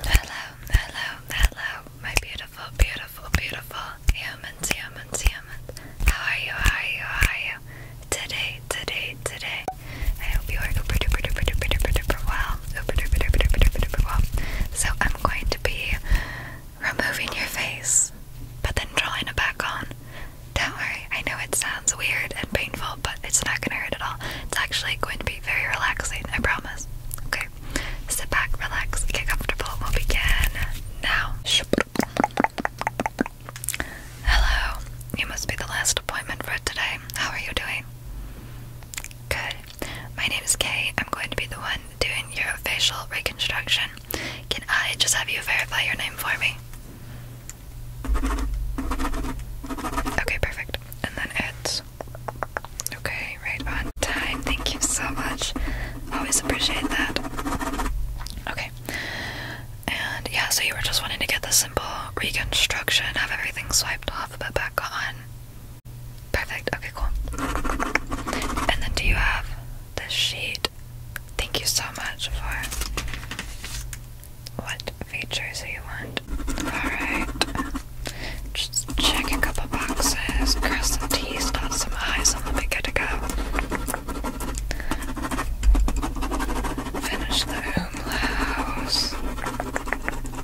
Hello, hello, hello, my beautiful, beautiful, beautiful humans, humans, humans. How are you? How are you? How are you? Today, today, today. I hope you are super duper duper duper duper duper well. Super duper duper duper duper well. So I'm going to be removing your face, but then drawing it back on. Don't worry, I know it sounds weird and painful, but it's not gonna hurt at all. It's actually going to be very relaxing, I promise. Okay. Sit back, relax, get comfortable. We'll begin now. Hello. You must be the last appointment for today. How are you doing? Good. My name is Kay. I'm going to be the one doing your facial reconstruction. Can I just have you verify your name for me? Okay, perfect. And then it's Okay, right on time. Thank you so much. Always appreciate that. Okay. And yeah, so you were just wanting to get the simple reconstruction, have everything swiped off, but back on. Perfect. Okay, cool. And then do you have this sheet? Thank you so much for what features you want? Alright. Just check a couple boxes, cross some T's, dot some I's, and we'll be to go. Finish the umlauts.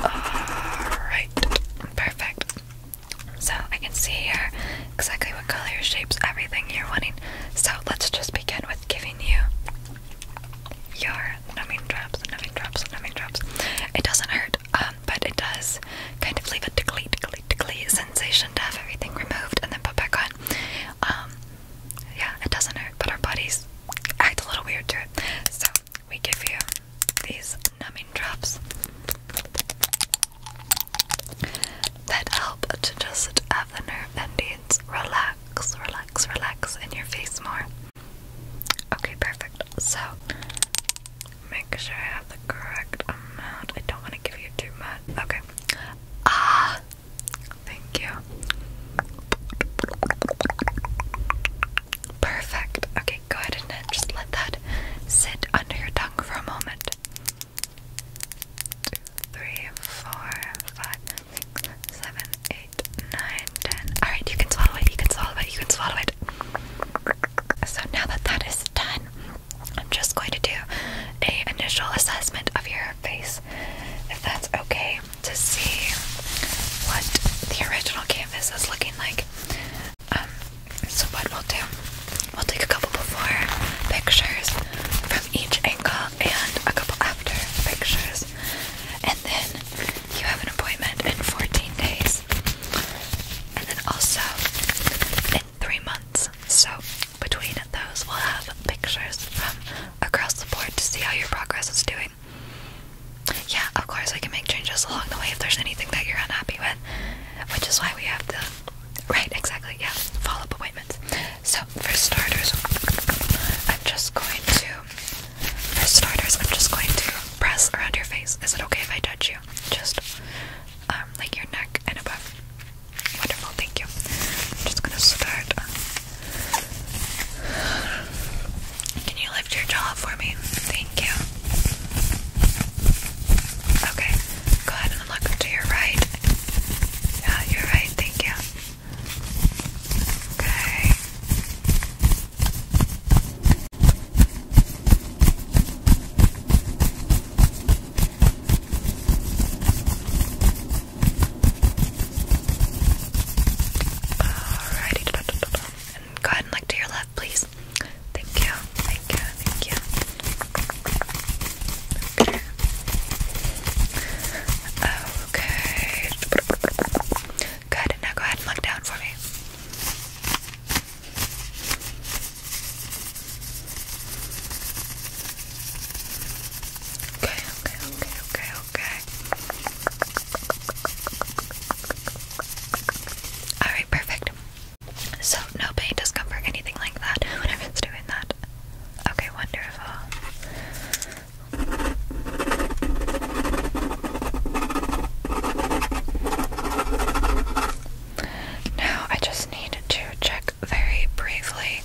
Alright. Perfect. So I can see here exactly what color, shapes, everything you're wanting. So let's just begin with giving you your numbing drops, numbing drops, numbing drops. It doesn't hurt, um, but it does kind of leave a tickly, tickly, tickly sensation to have everything removed and then put back on. Um, yeah, it doesn't hurt, but our bodies act a little weird to it. So we give you these numbing drops that help to just have the nerve endings relax, relax, relax in your face more. Okay, perfect. So, make sure I have the correct amount. I don't want to give you too much. Okay. Ah! Thank you. Perfect. Okay, go ahead and just let that sit under your tongue for a moment. Two, three, four, five, six, seven, eight nine, ten. Alright, you can swallow it, you can swallow it, you can swallow it. So now that that is done, I'm just going to do a initial assessment of your face, if that's okay, to see what the original canvas is looking like. Um, so what we'll do, we'll take a couple before pictures from each angle and a couple after pictures and then you have an appointment in 14 days, and then also in three months. So, between those, we'll have pictures from across the board to see how your progress is doing. Yeah, of course, we can make changes along the way if there's anything that you're unhappy with, which is why we have the right, exactly, yeah, follow up appointments. So, for starters, I'm just going to for starters, I'm just going to press around your face. Is it okay if I touch you? Just um, like your neck and above. Wonderful, thank you. I'm just gonna start. Can you lift your jaw for me? Thank you. Okay, go ahead and look to your right. Yeah, you right, thank you. Okay. Alrighty, go ahead and look to your left, please. Thank you, thank you, thank you. Okay. Good. Now go ahead and look down for me. Okay, okay, okay, okay, okay. Alright, perfect. So, no pain, discomfort, anything like that. Whenever it's doing that. Okay, wonderful. Now I just need to check very briefly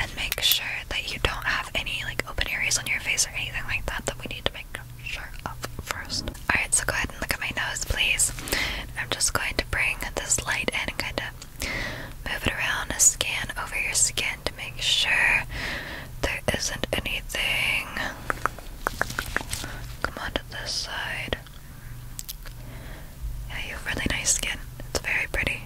and make sure that you don't have any like open areas on your face or anything like that that we need to make sure of first. Alright, so go ahead and look at my nose, please. I'm just going to bring this light in and kind of move it around, scan over your skin to make sure there isn't anything. Come on to this side. Yeah, you have really nice skin. It's very pretty.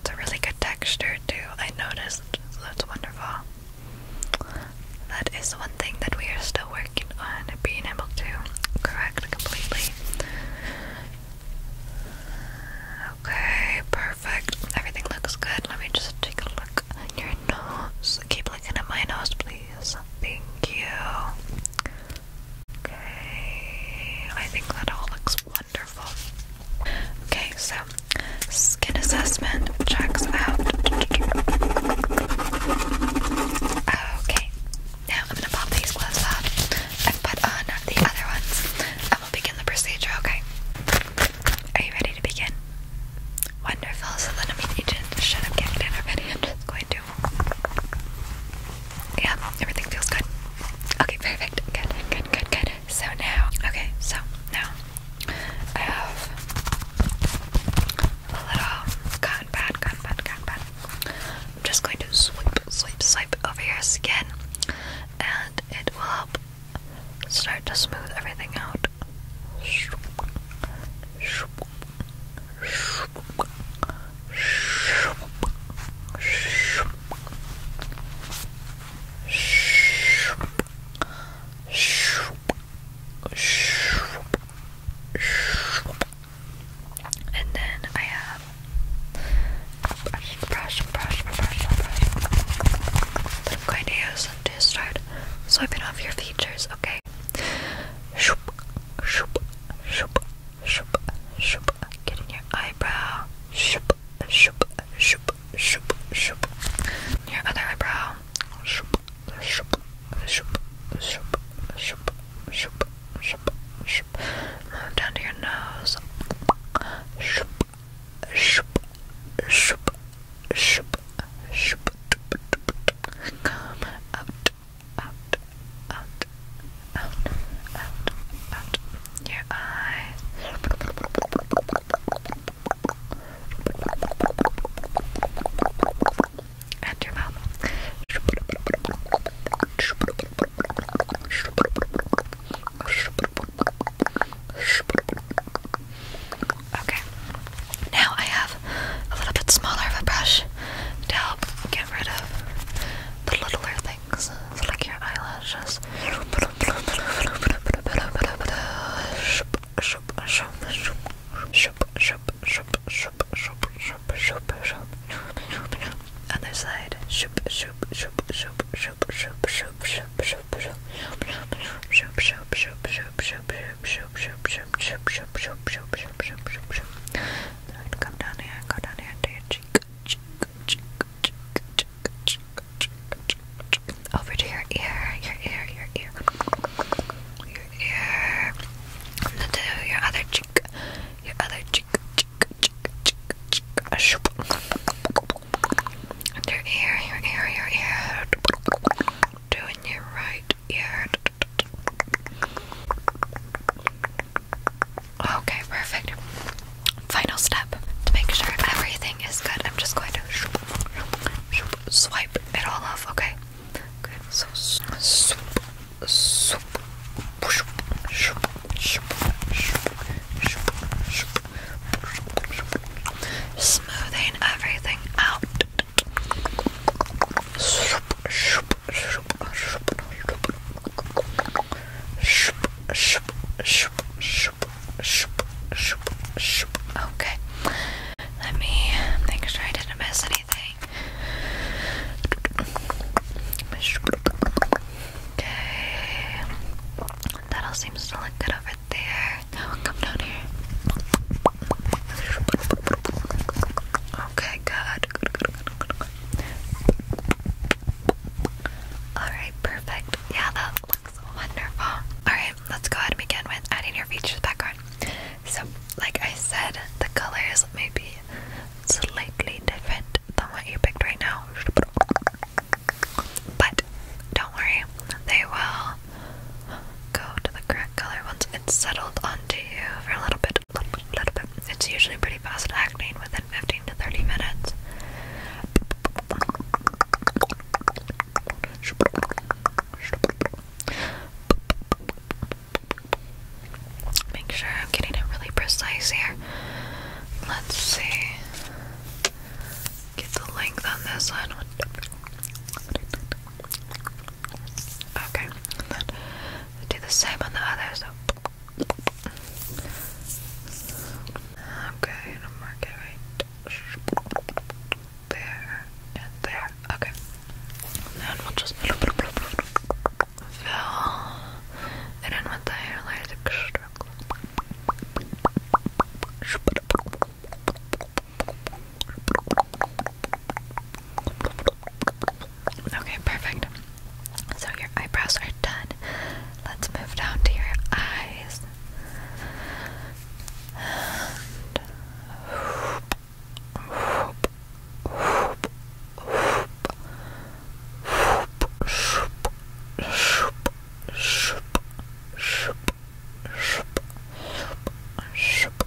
It's a really good texture, too. I noticed. that's wonderful. That is one thing that we are still working on being able to correct completely. Okay, perfect. Everything looks good. Let me just take a look nose. Keep looking at my nose, please. Thank you. Okay, I think that all looks wonderful. Okay, so skin assessment checks out. Okay, now I'm gonna pop these gloves on and put on the other ones, and we'll begin the procedure. Okay, are you ready? to begin? Wonderful. So then I just should have kicked it already. am just going to. Yeah, everything feels good. Okay, perfect. Good, good, good, good. So now, okay, so now I have a little cotton pad, cotton pad, cotton pad. I'm just going to swipe, swipe, swipe over your skin, and it will help start to smooth everything out. And then I have brush, brush, brush, brush, brush. I'm going to use to start swiping off your features, okay? Shoop, shoop, shoop, shoop, shoop. Get in your eyebrow. Shoop, shoop, shoop, shoop, shoop. Your other eyebrow. shoop, shoop, shoop, shoop, shoop, shoop, shoop. Move down to your nose. Shoop, shup, shup, shup, shup. Come out, out, out, out, out, out. Your eyes. And your mouth. Okay. Now I have a little bit smaller of a brush to help get rid of the littler things, it's like your eyelashes. And the side. Shoop, shoop, shoop, shoop, Come down here, go down here to your cheek, cheek, cheek, cheek, cheek, cheek, cheek, cheek. Over to your ear, your ear, your ear, your ear. And to your other cheek, your other cheek, cheek, cheek, cheek, cheek. your ear, your ear, your ear, doing your right ear. Okay, perfect. Final step to make sure everything is good. I'm just going to swipe it all off. Okay, good. So swoop, swoop, swoop, swoop, smoothing everything out. Okay, let me make sure I didn't miss anything. Okay, that all seems to look good over there. come down here. Okay, good. Alright, perfect. Yeah, that looks wonderful. Alright, let's go ahead and begin with adding your features back on. So, like I said, the colors may be slightly different than what you picked right now. But don't worry, they will go to the correct color once it's settled onto you for a little bit, little little bit. It's usually pretty fast acting within 15 to 30 minutes. Make sure I'm getting it really precise here. Let's see. Get the length on this one. Okay, and then do the same on the other. So. Okay, and I'm mark it there and there. Okay, and then we'll just fill in with the hair layers. Okay, perfect. So your eyebrows are done. Let's move down to your eyes. Uh, shup, shup, shup, shup,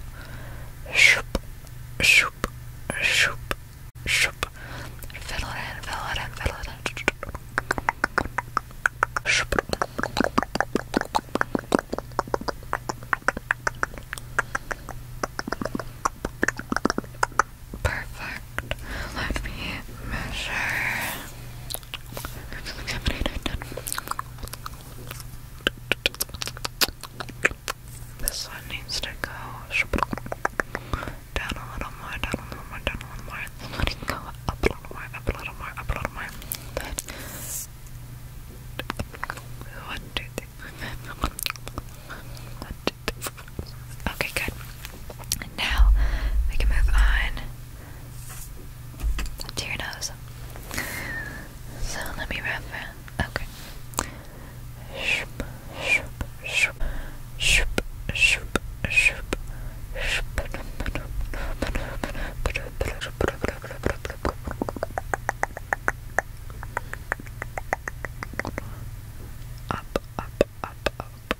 shup, shup, shup, shup. Fiddle it in, fiddle it in, fiddle it in. Shup. Perfect. Let me measure. This one needs to go down a little more, down a little more, down a little more. This one go up a little more, up a little more, up a little more. Okay, good. now we can move on to your nose. So let me wrap it. Okay. Shoop, shoop, shoop, shoop, shoop, shoop, up, up, up, up,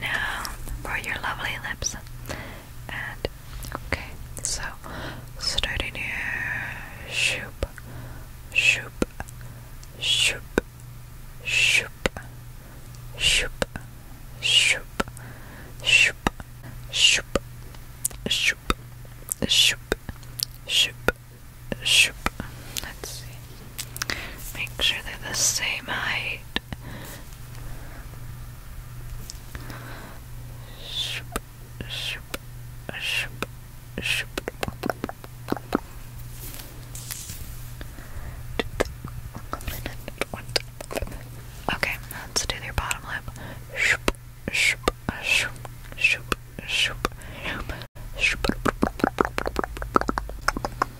Now for your lovely lips. And okay, so starting here, shoop, shoop, shoop, shoop, shoop, shoop, shoop, shoop, shoop, shoop, shoop, shoop. Let's see. Make sure they're the same height it. Okay, let's do your bottom lip.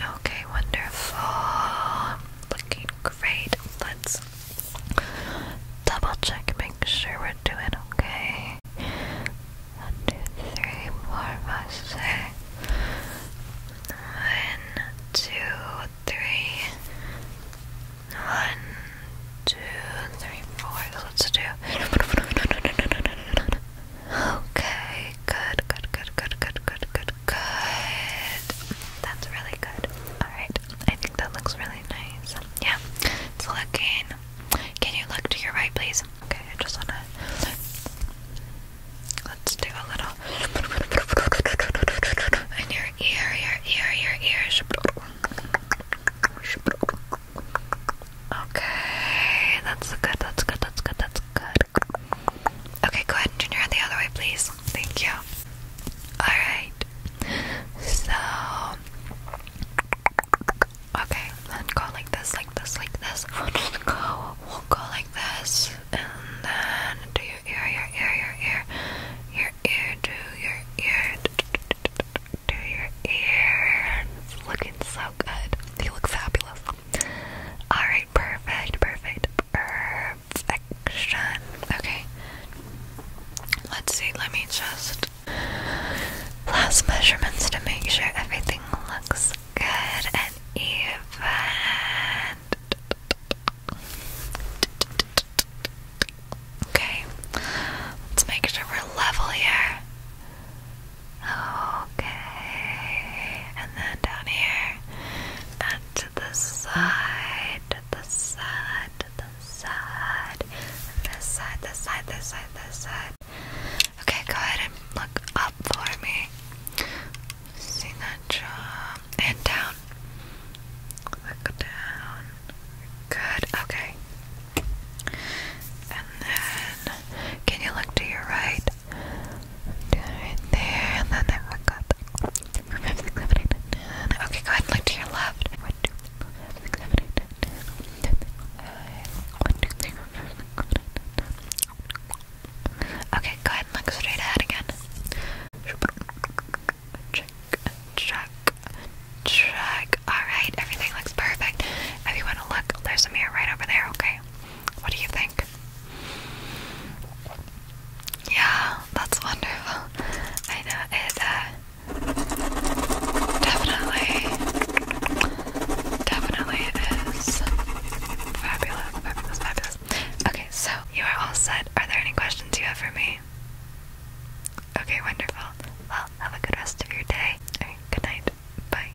Okay, wonderful. Looking great. Let's double check, make sure we're doing okay. One, two, three, four, five, six. One, two, three. One, two, three, four. let's do. Okay, good, good, good, good, good, good, good, That's really good. Alright, I think that looks really nice. Yeah, looking. Can you look to your right, please? Okay, I just wanna. Let's do a little. In your ear, your ear, your ear. Okay, that's good, that's good, that's good, that's good. Okay, go ahead and turn your head the other way, please. Thank you. Alright. So. Okay, then go like this, like this, like this. We'll go, like this. And then do your ear, your ear, your ear. Your ear, do your ear. Do your ear. looking so good. You look fabulous. Alright, perfect, perfect, perfection. Okay. Let's see, let me just last measurements to make sure everything looks good and even. Okay, let's make sure we're level here. Okay, and then down here, and to the side, the side, the side, this side, this side, this side, this side. Okay, go ahead and look up for me. Sinatra, and down. Look down. Good. Okay. And then, can you look to your right? right there, and then I forgot. Remove Okay, go ahead and look to your left. Okay, go ahead and look straight ahead again. Check, check, check. Alright, everything looks perfect. If you want to look, there's a mirror right over there, okay? What do you think? Yeah, that's wonderful. I know it uh, definitely, definitely is fabulous, fabulous, fabulous. Okay, so you are all set. Are there any questions you have for me? Okay, wonderful. Well, have a good rest of your day. good night. Bye.